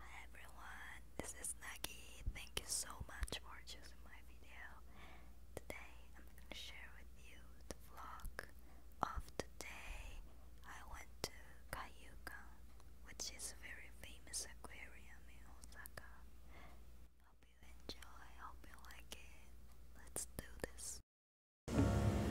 Hi everyone, this is Nagi. Thank you so much for choosing my video. Today I'm going to share with you the vlog of today. I went to Kaiyukan, which is a very famous aquarium in Osaka. Hope you enjoy, hope you like it. Let's do this.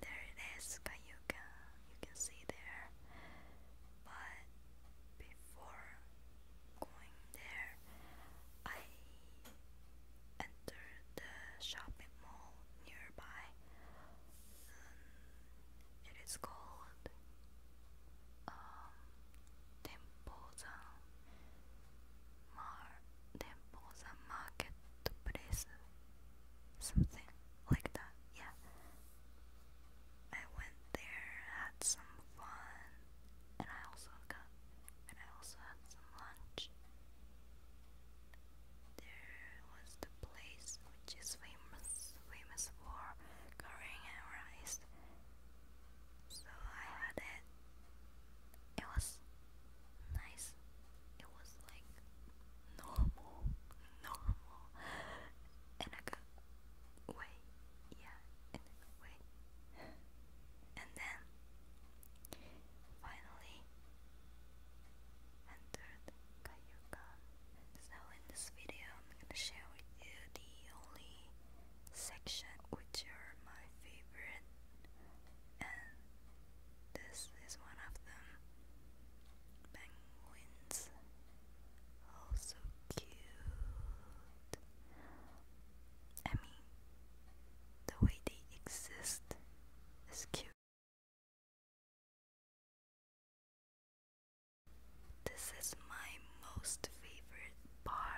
There it is, Cayuga. You can see there. But before going there, I entered the shopping mall nearby. Um, it is called um, Demposan Mar Demposan Marketplace something like that, yeah. I went there, had some fun, and I also got and I also had some lunch. There was the place which is famous famous for currying and rice. So I had it it was nice. It was like normal, normal in a good way. Yeah, in And then finally entered Kaiokan. So in this video, I'm gonna share with you the only section which are my favorite and this is one of them penguins also cute I mean the way they exist is cute this is my most favorite bar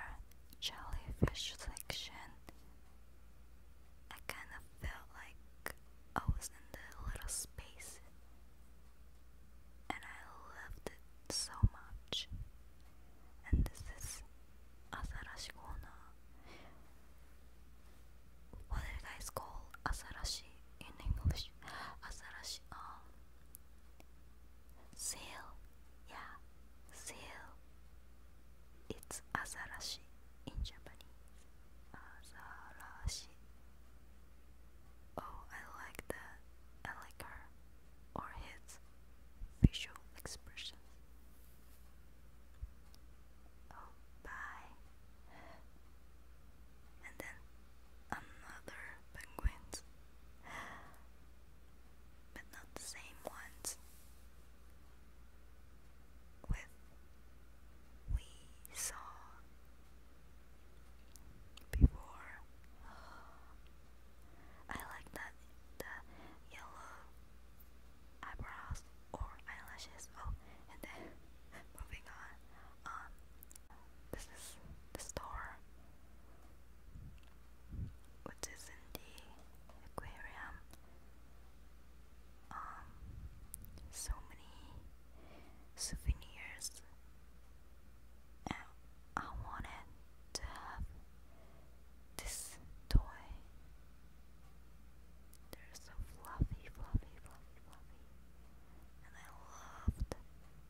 jellyfish section. I kind of felt like I was in the little space and I loved it so much. And this is Asarashi What do you guys call Asarashi? in English? Azarashi um sale. Yeah, sale. It's azarashi in Japanese. Azarashi. Oh, I like that. I like her or his visual expression. Oh, bye and then another penguins, but not the same ones. With we saw before. I like that the yellow eyebrows or eyelashes. Oh, and then moving on. Um, this is the store, which in the aquarium. Um, so many souvenirs. And I wanted to have this toy they're so fluffy, fluffy, fluffy, fluffy. And I loved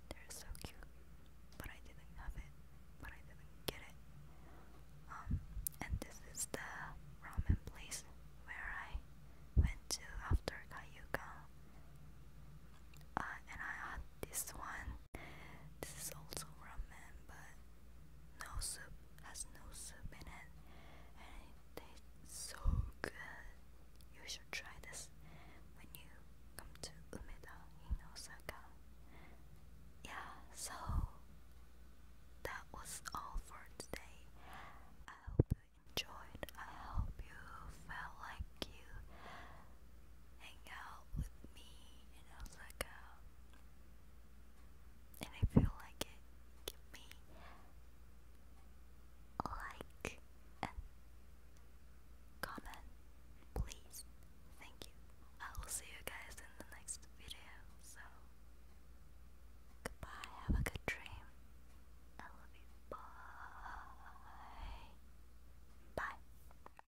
They're so cute. But I didn't have it. But I didn't get it. Um, and this is the ramen place where I went to after Kayuga. Uh, and I had this one. This is also ramen, but no soup, has no soup in it, and it tastes so good. You should try this when you come to Umeda in Osaka. Yeah, so that was all for today. I hope you enjoyed. I hope you felt like you hang out with me in Osaka and I feel like it give me like and comment please thank you I will see you guys in the next video so goodbye have a good dream I love you bye bye